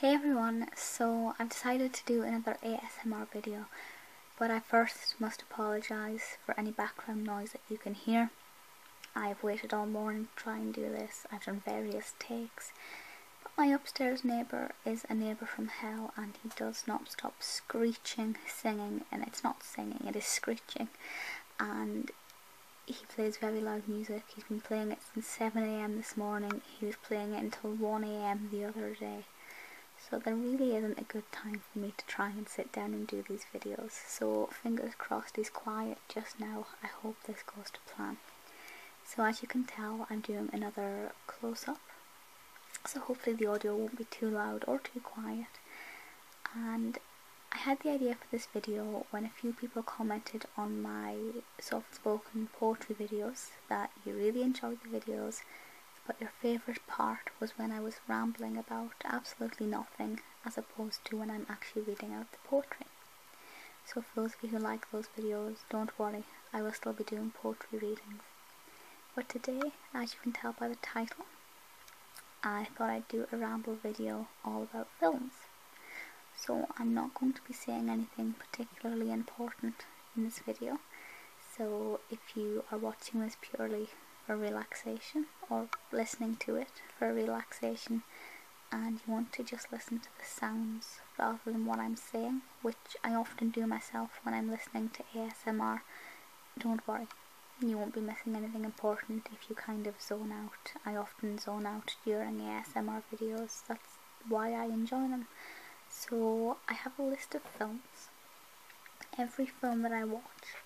Hey everyone, so I've decided to do another ASMR video, but I first must apologise for any background noise that you can hear. I've waited all morning to try and do this, I've done various takes, but my upstairs neighbour is a neighbour from hell and he does not stop screeching, singing, and it's not singing, it is screeching, and he plays very loud music, he's been playing it 7am this morning, he was playing it until 1am the other day. So there really isn't a good time for me to try and sit down and do these videos. So fingers crossed he's quiet just now. I hope this goes to plan. So as you can tell, I'm doing another close-up. So hopefully the audio won't be too loud or too quiet. And I had the idea for this video when a few people commented on my soft spoken poetry videos that you really enjoyed the videos but your favourite part was when I was rambling about absolutely nothing as opposed to when I'm actually reading out the poetry. So for those of you who like those videos, don't worry, I will still be doing poetry readings. But today, as you can tell by the title, I thought I'd do a ramble video all about films so I'm not going to be saying anything particularly important in this video so if you are watching this purely for relaxation or listening to it for relaxation and you want to just listen to the sounds rather than what I'm saying which I often do myself when I'm listening to ASMR don't worry you won't be missing anything important if you kind of zone out. I often zone out during ASMR videos, that's why I enjoy them. So I have a list of films. Every film that I watch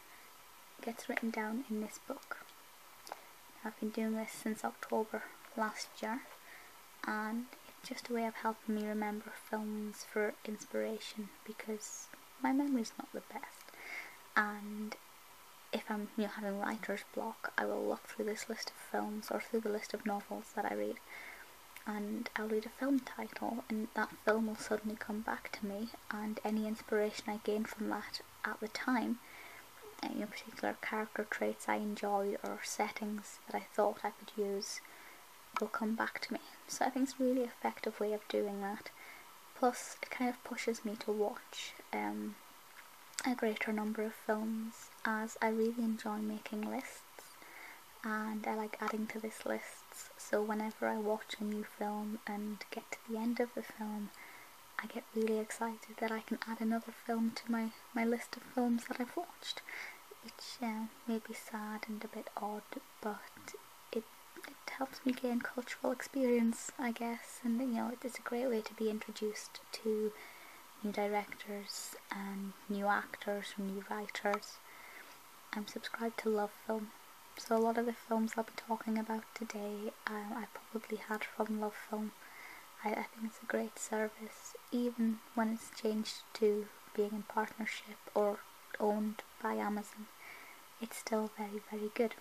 gets written down in this book. I've been doing this since October last year and it's just a way of helping me remember films for inspiration because my memory's not the best and if I'm having writer's block, I will look through this list of films or through the list of novels that I read, and I'll read a film title, and that film will suddenly come back to me, and any inspiration I gained from that at the time, any particular character traits I enjoyed or settings that I thought I could use, will come back to me. So I think it's a really effective way of doing that. Plus, it kind of pushes me to watch. Um, a greater number of films as I really enjoy making lists and I like adding to this list. so whenever I watch a new film and get to the end of the film I get really excited that I can add another film to my, my list of films that I've watched which uh, may be sad and a bit odd but it, it helps me gain cultural experience I guess and you know it's a great way to be introduced to new directors and new actors from new writers. I'm subscribed to LoveFilm, so a lot of the films I'll be talking about today um, I probably had from LoveFilm. I think it's a great service, even when it's changed to being in partnership or owned by Amazon. It's still very, very good.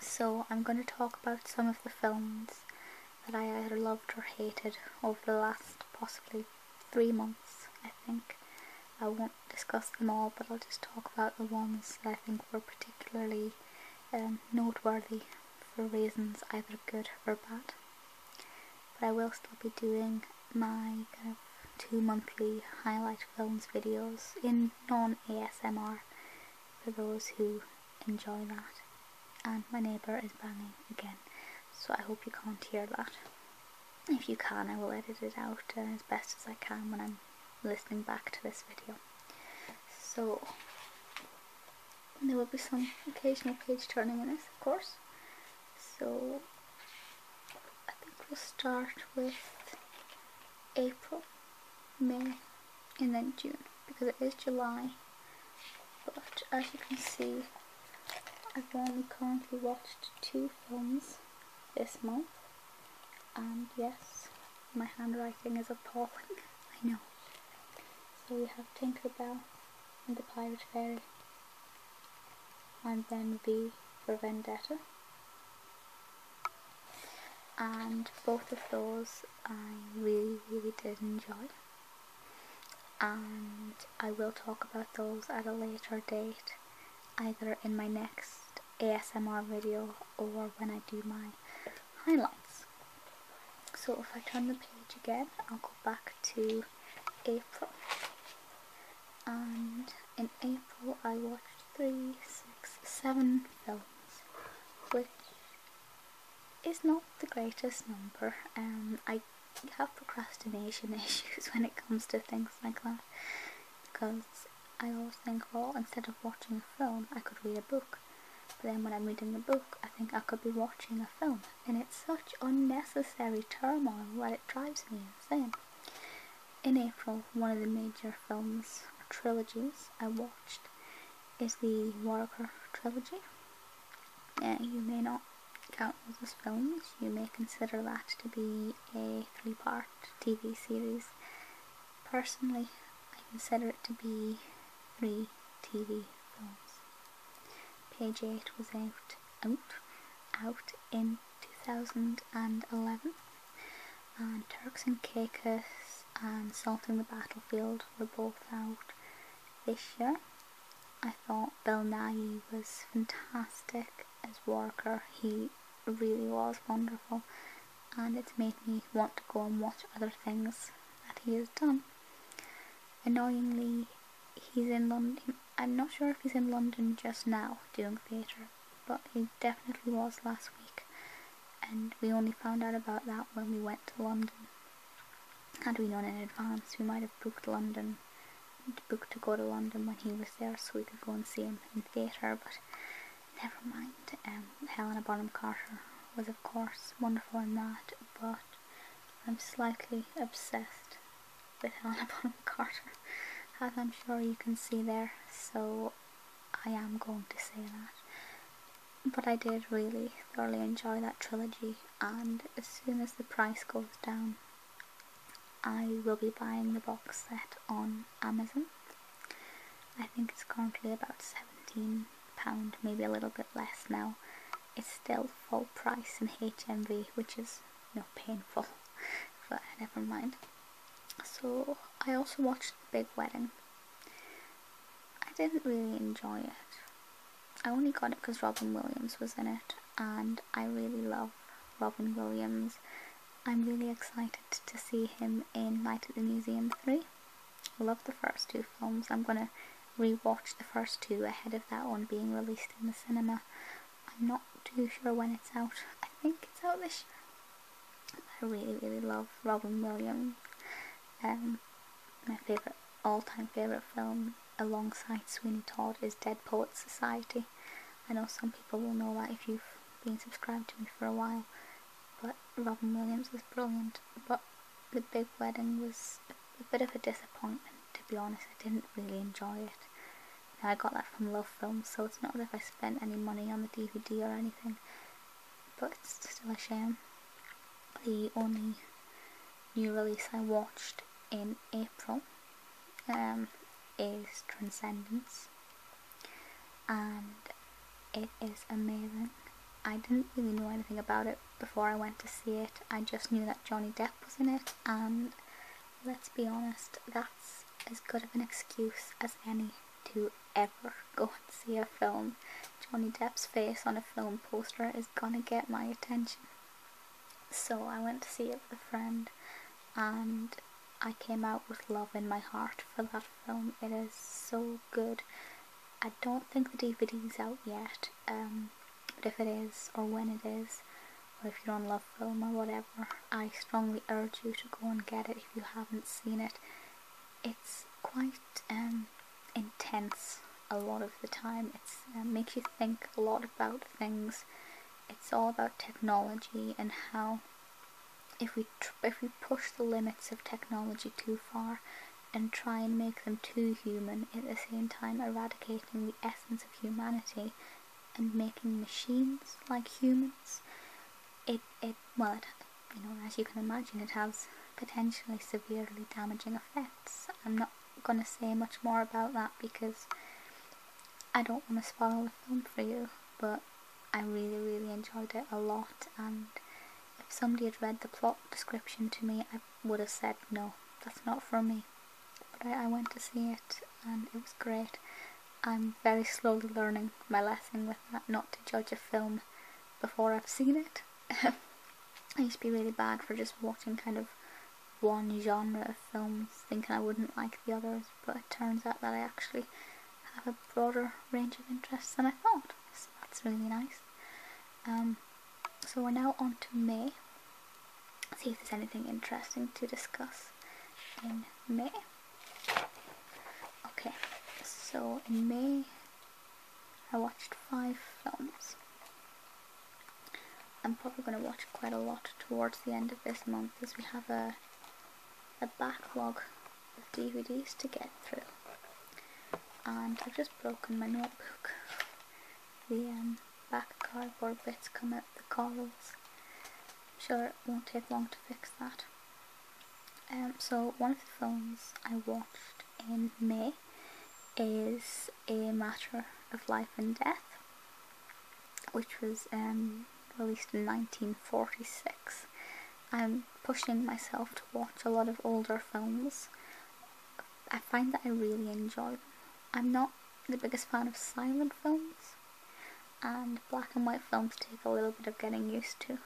So I'm going to talk about some of the films that I either loved or hated over the last possibly three months, I think. I won't discuss them all, but I'll just talk about the ones that I think were particularly um, noteworthy for reasons either good or bad. But I will still be doing my kind of two monthly highlight films videos in non ASMR for those who enjoy that. And my neighbour is banging again, so I hope you can't hear that. If you can, I will edit it out as best as I can when I'm listening back to this video. So, there will be some occasional page turning in this, of course. So, I think we'll start with April, May, and then June because it is July but as you can see I've only currently watched two films this month and yes my handwriting is appalling I know so we have Tinker Bell and the Pirate Fairy and then V for Vendetta and both of those I really really did enjoy and I will talk about those at a later date either in my next ASMR video or when I do my highlights so if I turn the page again I'll go back to April and in April I watched three, six, seven films which is not the greatest number. Um, I have procrastination issues when it comes to things like that because I always think, well, instead of watching a film, I could read a book. But then when I'm reading the book, I think I could be watching a film. And it's such unnecessary turmoil that it drives me insane. In April, one of the major films or trilogies I watched is the Warwicker trilogy. you may not count those as films, you may consider that to be a three part TV series. Personally, I consider it to be three TV films. Page 8 was out, out, out in 2011 and Turks and Caicos and Salt in the Battlefield were both out this year. I thought Bill Nighy was fantastic as Walker. He really was wonderful and it's made me want to go and watch other things that he has done. Annoyingly, he's in London. I'm not sure if he's in London just now doing theatre, but he definitely was last week, and we only found out about that when we went to London. Had we known in advance, we might have booked London, booked to go to London when he was there so we could go and see him in the theatre, but never mind. Um, Helena Bonham Carter was, of course, wonderful in that, but I'm slightly obsessed with Helena Bonham Carter, as I'm sure you can see there. So I am going to say that. But I did really thoroughly enjoy that trilogy, and as soon as the price goes down, I will be buying the box set on Amazon. I think it's currently about £17, maybe a little bit less now. It's still full price in HMV, which is you know, painful, but never mind. So I also watched The Big Wedding I didn't really enjoy it. I only got it because Robin Williams was in it, and I really love Robin Williams. I'm really excited to see him in Night at the Museum 3. I love the first two films. I'm going to rewatch the first two ahead of that one being released in the cinema. I'm not too sure when it's out. I think it's out this year. I really really love Robin Williams. Um, my favorite all-time favorite film alongside Sweeney Todd is Dead Poets Society. I know some people will know that if you've been subscribed to me for a while, but Robin Williams is brilliant. But The Big Wedding was a bit of a disappointment, to be honest. I didn't really enjoy it. I got that from Love Films, so it's not as if I spent any money on the DVD or anything but still a shame. The only new release I watched in April um, is Transcendence and it is amazing. I didn't really know anything about it before I went to see it. I just knew that Johnny Depp was in it and let's be honest, that's as good of an excuse as any to ever go and see a film. Johnny Depp's face on a film poster is gonna get my attention. So I went to see it with a friend and I came out with love in my heart for that film. It is so good. I don't think the DVD's out yet, um, but if it is, or when it is, or if you're on Love Film or whatever, I strongly urge you to go and get it if you haven't seen it. It's quite um, intense a lot of the time. It uh, makes you think a lot about things. It's all about technology and how if we if we push the limits of technology too far and try and make them too human, at the same time eradicating the essence of humanity and making machines like humans, it, it well, you know, as you can imagine, it has potentially severely damaging effects. I'm not going to say much more about that because I don't want to spoil the film for you, but I really, really enjoyed it a lot. And if somebody had read the plot description to me, I would have said, no, that's not for me. But I went to see it and it was great. I'm very slowly learning my lesson with that, not to judge a film before I've seen it. I used to be really bad for just watching kind of one genre of films, thinking I wouldn't like the others, but it turns out that I actually have a broader range of interests than I thought, that's really nice. Um, so we're now on to May, see if there's anything interesting to discuss in May. Okay, so in May I watched five films. I'm probably going to watch quite a lot towards the end of this month as we have a, a backlog of DVDs to get through. And I've just broken my notebook. The um, back cardboard bits come out the columns. I'm sure it won't take long to fix that. Um, so one of the films I watched in May is A Matter of Life and Death, which was um, released in 1946. I'm pushing myself to watch a lot of older films. I find that I really enjoy them. I'm not the biggest fan of silent films, and black and white films take a little bit of getting used to,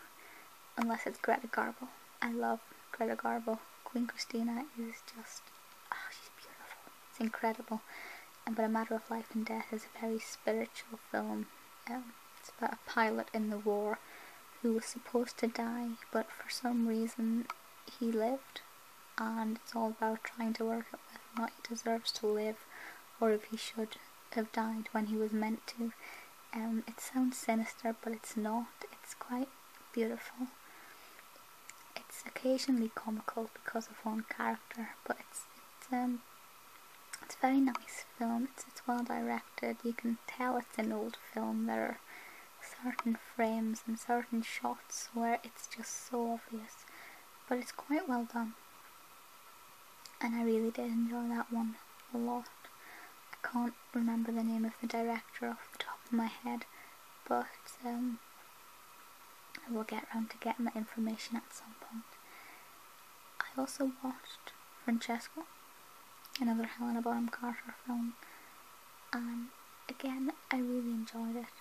unless it's Greta Garbo. I love Greta Garbo. Queen Christina is just, oh, she's beautiful. It's incredible. But A Matter of Life and Death is a very spiritual film. Um, it's about a pilot in the war who was supposed to die, but for some reason he lived. And it's all about trying to work out whether or not he deserves to live or if he should have died when he was meant to. Um, it sounds sinister, but it's not. It's quite beautiful. It's occasionally comical because of one character, but it's it's um it's a very nice film. it's well directed. You can tell it's an old film. There are certain frames and certain shots where it's just so obvious, but it's quite well done and I really did enjoy that one a lot. I can't remember the name of the director off the top of my head, but um, I will get round to getting that information at some point. I also watched Francesco, another Helena Bonham Carter film, and again, I really enjoyed it.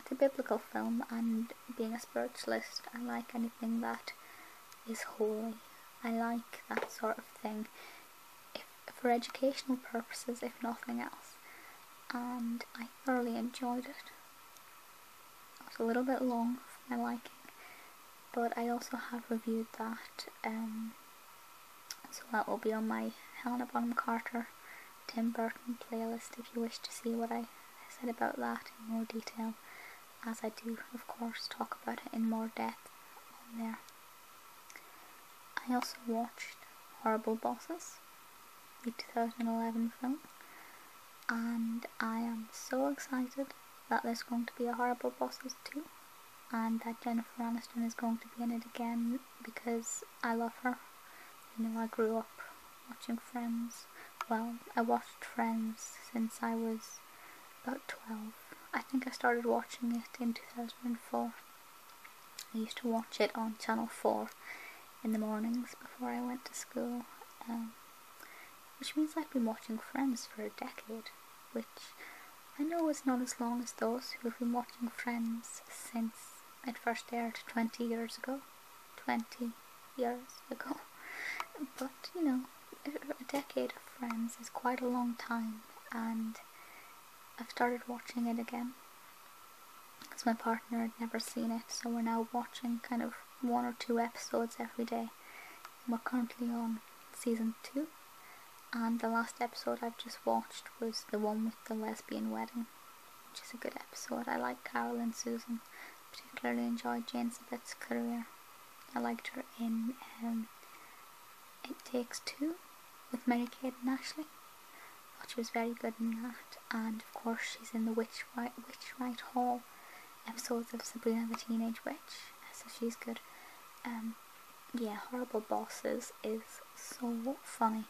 It's a biblical film, and being a spiritualist, I like anything that is holy. I like that sort of thing, for educational purposes, if nothing else. And I thoroughly enjoyed it. It was a little bit long for my liking, but I also have reviewed that, um, so that will be on my Helena Bonham Carter Tim Burton playlist if you wish to see what I said about that in more detail, as I do, of course, talk about it in more depth on there. I also watched Horrible Bosses, the 2011 film, and I am so excited that there's going to be a Horrible Bosses 2 and that Jennifer Aniston is going to be in it again because I love her. You know, I grew up watching Friends. Well, I watched Friends since I was about 12. I think I started watching it in 2004. I used to watch it on Channel 4 in the mornings before I went to school, um, which means I've been watching Friends for a decade, which I know is not as long as those who've been watching Friends since it first aired 20 years ago. 20 years ago. But, you know, a decade of Friends is quite a long time, and I've started watching it again. Because my partner had never seen it, so we're now watching kind of one or two episodes every day. we're currently on season two, and the last episode I've just watched was the one with the lesbian wedding which is a good episode. I like Carol and Susan. Particularly enjoyed Jane Smith's career. I liked her in um, It Takes Two with Mary Kate and Ashley. Thought she was very good in that. And of course, she's in the Witch White Witch Right Hall episodes of Sabrina the Teenage Witch. So she's good. Um, yeah, Horrible Bosses is so funny.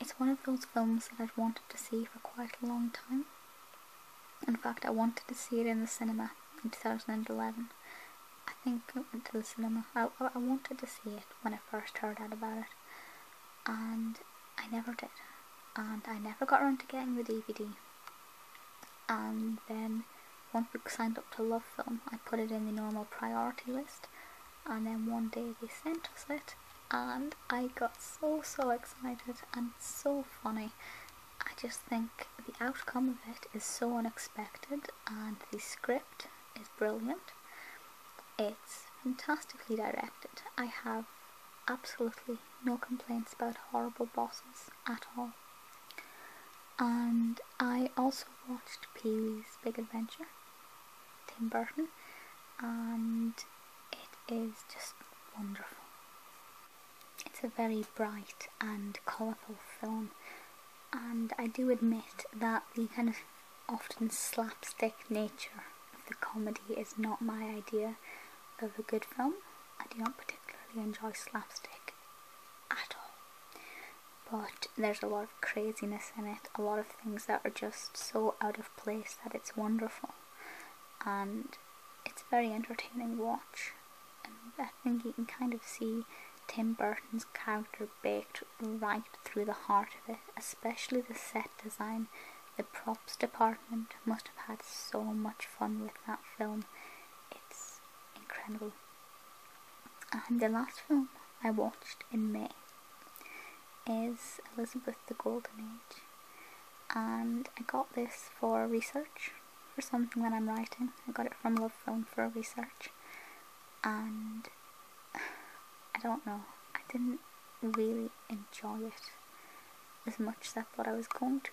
It's one of those films that I've wanted to see for quite a long time. In fact, I wanted to see it in the cinema in 2011. I think I went to the cinema. I, wanted to see it when I first heard about it. And I never did. And I never got around to getting the DVD. And then once we signed up to Love Film, I put it in the normal priority list and then one day they sent us it and I got so so excited and so funny. I just think the outcome of it is so unexpected and the script is brilliant. It's fantastically directed. I have absolutely no complaints about horrible bosses at all. And I also watched Pee Wee's Big Adventure Tim Burton, and it is just wonderful. It's a very bright and colourful film, and I do admit that the kind of often slapstick nature of the comedy is not my idea of a good film. I do not particularly enjoy slapstick at all. But there's a lot of craziness in it, a lot of things that are just so out of place that it's wonderful and it's very entertaining watch and I think you can kind of see Tim Burton's character baked right through the heart of it, especially the set design. The props department must have had so much fun with that film. It's incredible. And the last film I watched in May is Elizabeth the Golden Age and I got this for research for something that I'm writing. I got it from Love Film for research and I don't know, I didn't really enjoy it as much as I thought I was going to.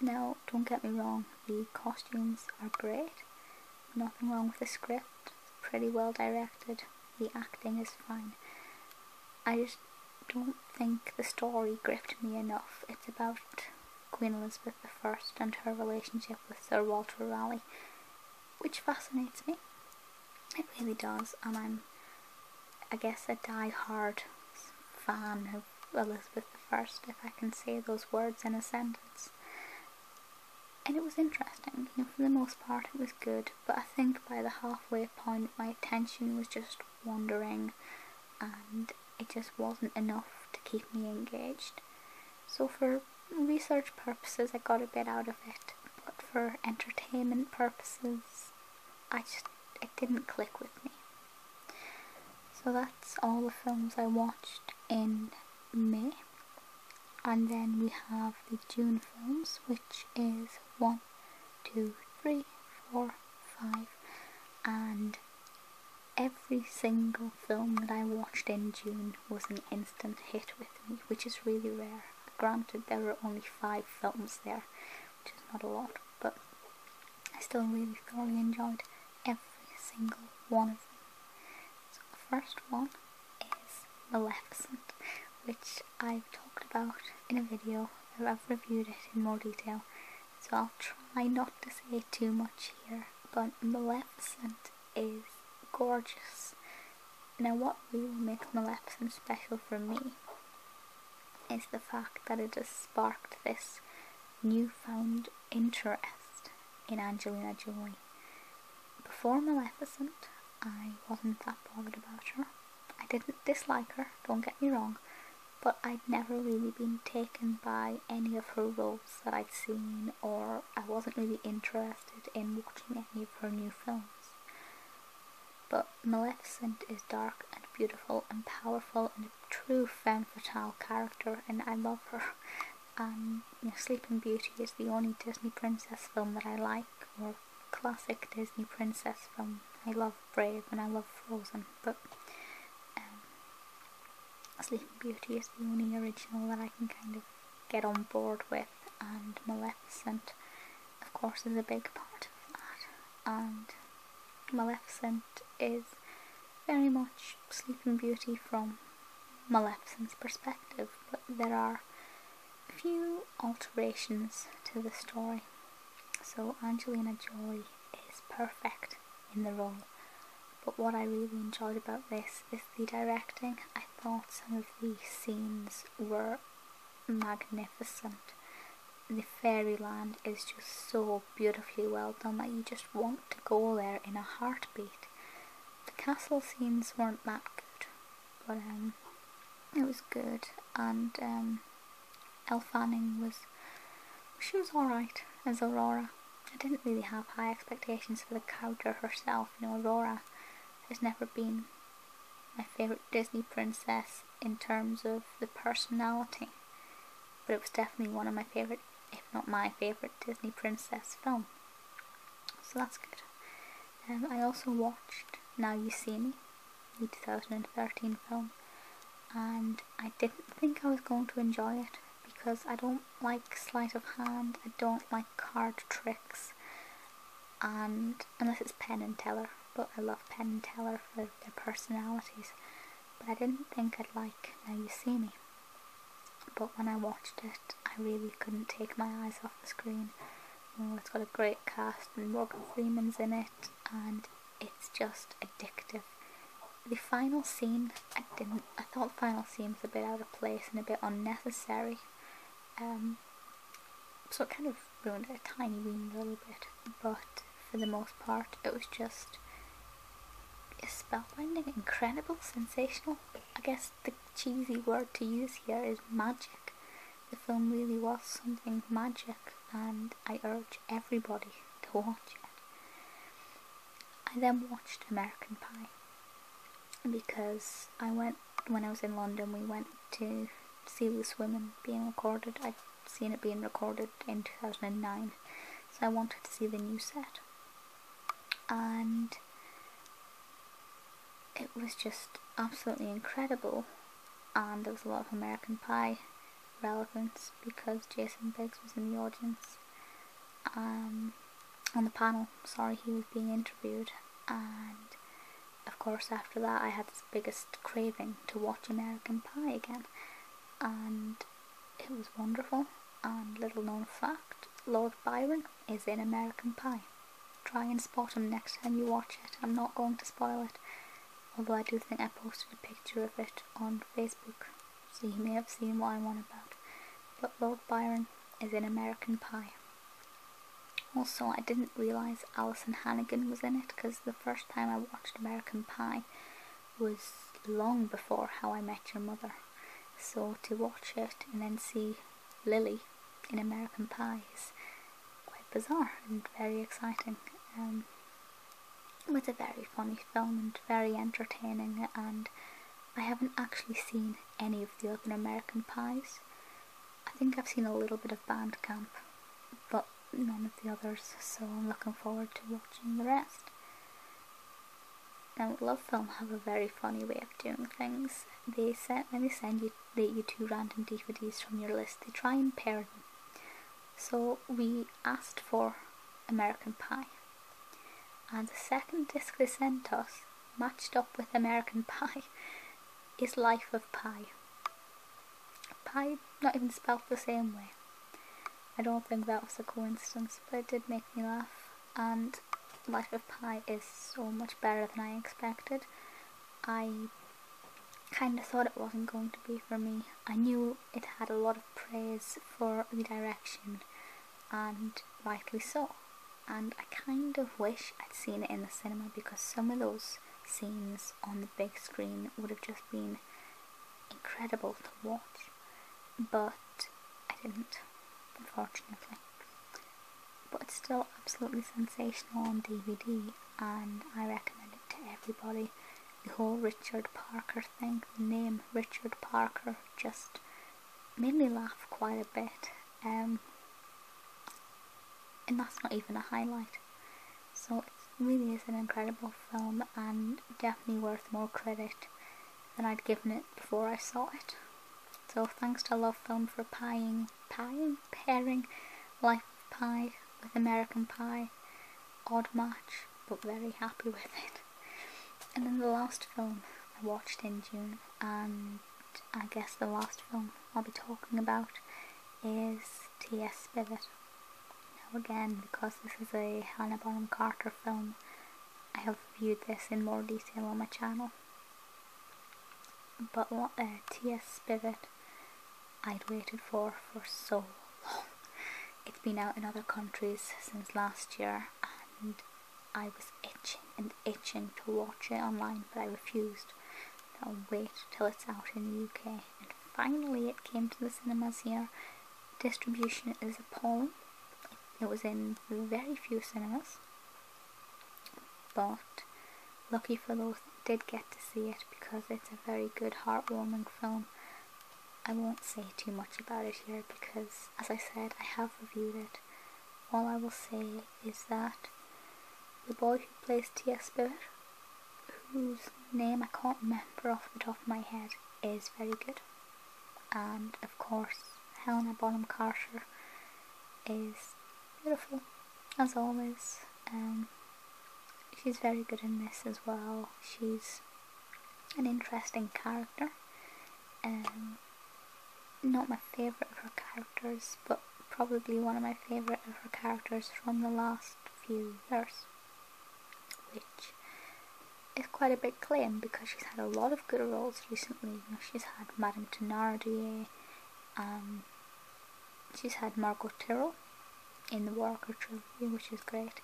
Now, don't get me wrong, the costumes are great, nothing wrong with the script, it's pretty well directed, the acting is fine. I just don't think the story gripped me enough. It's about Queen Elizabeth I and her relationship with Sir Walter Raleigh, which fascinates me. It really does, and I'm, I guess, a die-hard fan of Elizabeth I, if I can say those words in a sentence and it was interesting. You know, for the most part, it was good, but I think by the halfway point, my attention was just wandering, and it just wasn't enough to keep me engaged. So for research purposes, I got a bit out of it, but for entertainment purposes, I just it didn't click with me. So that's all the films I watched in May and then we have the June films which is one, two, three, four, five, and every single film that I watched in June was an instant hit with me which is really rare granted there were only five films there which is not a lot but I still really thoroughly enjoyed every single one of them so the first one is Maleficent, which I've talked about in a video where I've reviewed it in more detail. So I'll try not to say too much here, but Maleficent is gorgeous. Now what really makes Maleficent special for me is the fact that it just sparked this newfound interest in Angelina Jolie before Maleficent, I wasn't that bothered about her. I didn't dislike her, don't get me wrong, but I'd never really been taken by any of her roles that I'd seen, or I wasn't really interested in watching any of her new films. But Maleficent is dark and beautiful and powerful and a true femme fatale character, and I love her. And Sleeping Beauty is the only Disney princess film that I like, or classic Disney princess film. I love Brave and I love Frozen, but um, Sleeping Beauty is the only original that I can kind of get on board with, and Maleficent, of course, is a big part of that. And Maleficent is very much Sleeping Beauty from Maleficent's perspective, but there are few alterations to the story. So Angelina Jolie is perfect in the role. But what I really enjoyed about this is the directing. I thought some of the scenes were magnificent. The fairyland is just so beautifully well done that you just want to go there in a heartbeat. The castle scenes weren't that good, but um, it was good. And um, Elle Fanning was she was alright as Aurora. I didn't really have high expectations for the character herself. You know, Aurora has never been my favourite Disney princess in terms of the personality, but it was definitely one of my favourite, if not my favourite, Disney princess film. So that's good. Um, I also watched Now You See Me, the 2013 film, and I didn't think I was going to enjoy it because I don't like sleight of hand, I don't like card tricks, and unless it's Penn and Teller, but I love Penn and Teller for their personalities. But I didn't think I'd like Now You See Me. But when I watched it, I really couldn't take my eyes off the screen. Oh, it's got a great cast and Morgan Freeman's in it and it's just addictive. The final scene, I didn't, I thought final scene was a bit out of place and a bit unnecessary. Um, so it kind of ruined it a tiny wee little bit, but for the most part it was just spellbinding, incredible, sensational. I guess the cheesy word to use here is magic. The film really was something magic, and I urge everybody to watch it. I then watched American Pie because I went when I was in London. We went to see this woman being recorded. I'd seen it being recorded in 2009, so I wanted to see the new set. And it was just absolutely incredible and there was a lot of American Pie relevance because Jason Biggs was in the audience um, on the panel sorry he was being interviewed and of course after that I had this biggest craving to watch American Pie again and it was wonderful and little known fact Lord Byron is in American Pie. Try and spot him next time you watch it. I'm not going to spoil it, although I do think I posted a picture of it on Facebook, so you may have seen what I'm about. But Lord Byron is in American Pie. Also, I didn't realise Alison Hannigan was in it because the first time I watched American Pie was long before How I Met Your Mother. So to watch it and then see Lily in American Pie is quite bizarre and very exciting. Um, it was a very funny film and very entertaining and I haven't actually seen any of the other American Pies. I think I've seen a little bit of Band Camp, but none of the others, so I'm looking forward to watching the rest. Now, Love Film have a very funny way of doing things. They send when they send you two random DVDs from your list, they try and pair them. So we asked for American Pie, and the second disc they sent us matched up with American Pie is Life of Pie. Pie, not even spelled the same way. I don't think that was a coincidence, but it did make me laugh. And Life of Pi is so much better than I expected. I kind of thought it wasn't going to be for me. I knew it had a lot of praise for the direction, and rightly so. And I kind of wish I'd seen it in the cinema because some of those scenes on the big screen would have just been incredible to watch. But I didn't, unfortunately. But it's still absolutely sensational on DVD, and I recommend it to everybody. The whole Richard Parker thing, the name Richard Parker, just made me laugh quite a bit. Um, and that's not even a highlight. So it really is an incredible film and definitely worth more credit than I'd given it before I saw it. So thanks to Love Film for pieing, pieing, pairing Life of Pie with American Pie. Odd match, but very happy with it. And then the last film I watched in June, and I guess the last film I'll be talking about is T.S. Spivet. Now again, because this is a Hannah Bonham Carter film, I have viewed this in more detail on my channel. But what uh, TS Spirit I'd waited for for so long. It's been out in other countries since last year and I was itching and itching to watch it online but I refused. I'll wait till it's out in the UK. And finally it came to the cinemas here. Distribution is appalling. It was in very few cinemas, but lucky for those did get to see it because it's a very good, heartwarming film. I won't say too much about it here because, as I said, I have reviewed it. All I will say is that the boy who plays T.S. Spirit, whose name I can't remember off the top of my head, is very good and of course Helena Bonham Carter is beautiful as always um, she's very good in this as well she's an interesting character um, not my favourite of her characters but probably one of my favourite of her characters from the last few years is quite a big claim because she's had a lot of good roles recently. she's had Madame Thenardier, um, she's had Margot Tyrell in the Walker trilogy, which is great,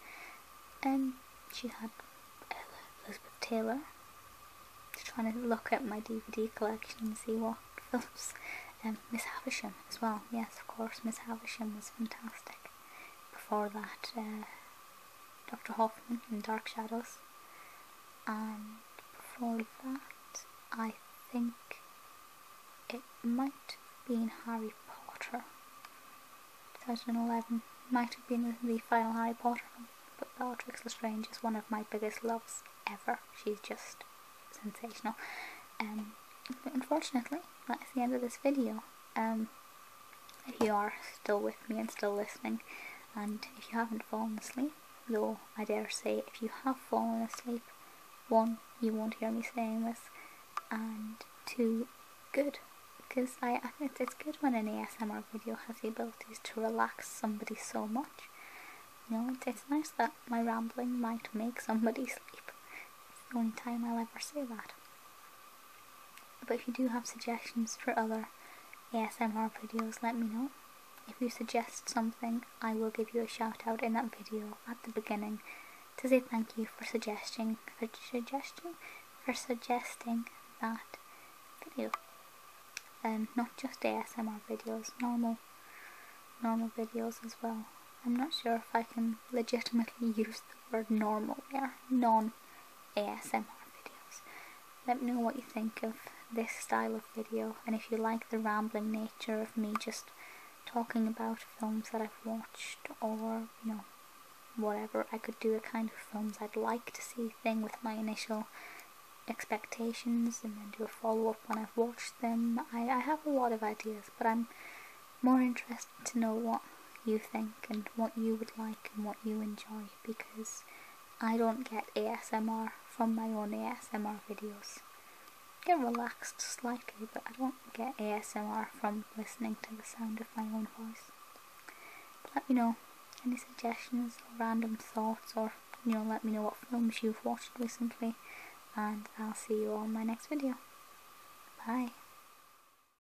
and she had Elizabeth Taylor. Just trying to look at my DVD collection and see what films. Um, Miss Havisham as well. Yes, of course, Miss Havisham was fantastic. Before that, uh, Dr. Hoffman in Dark Shadows. And before that, I think it might have been Harry Potter. 2011 might have been the final Harry Potter film, but Bellatrix Lestrange is one of my biggest loves ever. She's just sensational. Um, unfortunately, that's the end of this video. Um, if you are still with me and still listening, and if you haven't fallen asleep, though I dare say if you have fallen asleep, one, you won't hear me saying this, and two, good, because I, it's good when an ASMR video has the abilities to relax somebody so much. You know, it's, it's nice that my rambling might make somebody sleep. It's the only time I'll ever say that. But if you do have suggestions for other ASMR videos, let me know. If you suggest something, I will give you a shout out in that video at the beginning to say thank you for suggesting for suggesting for suggesting that video. and um, not just ASMR videos, normal normal videos as well. I'm not sure if I can legitimately use the word normal there. Non ASMR videos. Let me know what you think of this style of video and if you like the rambling nature of me just talking about films that I've watched or, you know, whatever. I could do a kind of films I'd like to see thing with my initial expectations and then do a follow-up when I've watched them. I, I have a lot of ideas, but I'm more interested to know what you think and what you would like and what you enjoy because I don't get ASMR from my own ASMR videos. I get relaxed slightly, but I don't get ASMR from listening to the sound of my own voice. let me know any suggestions or random thoughts or you know let me know what films you've watched recently and I'll see you on my next video. Bye.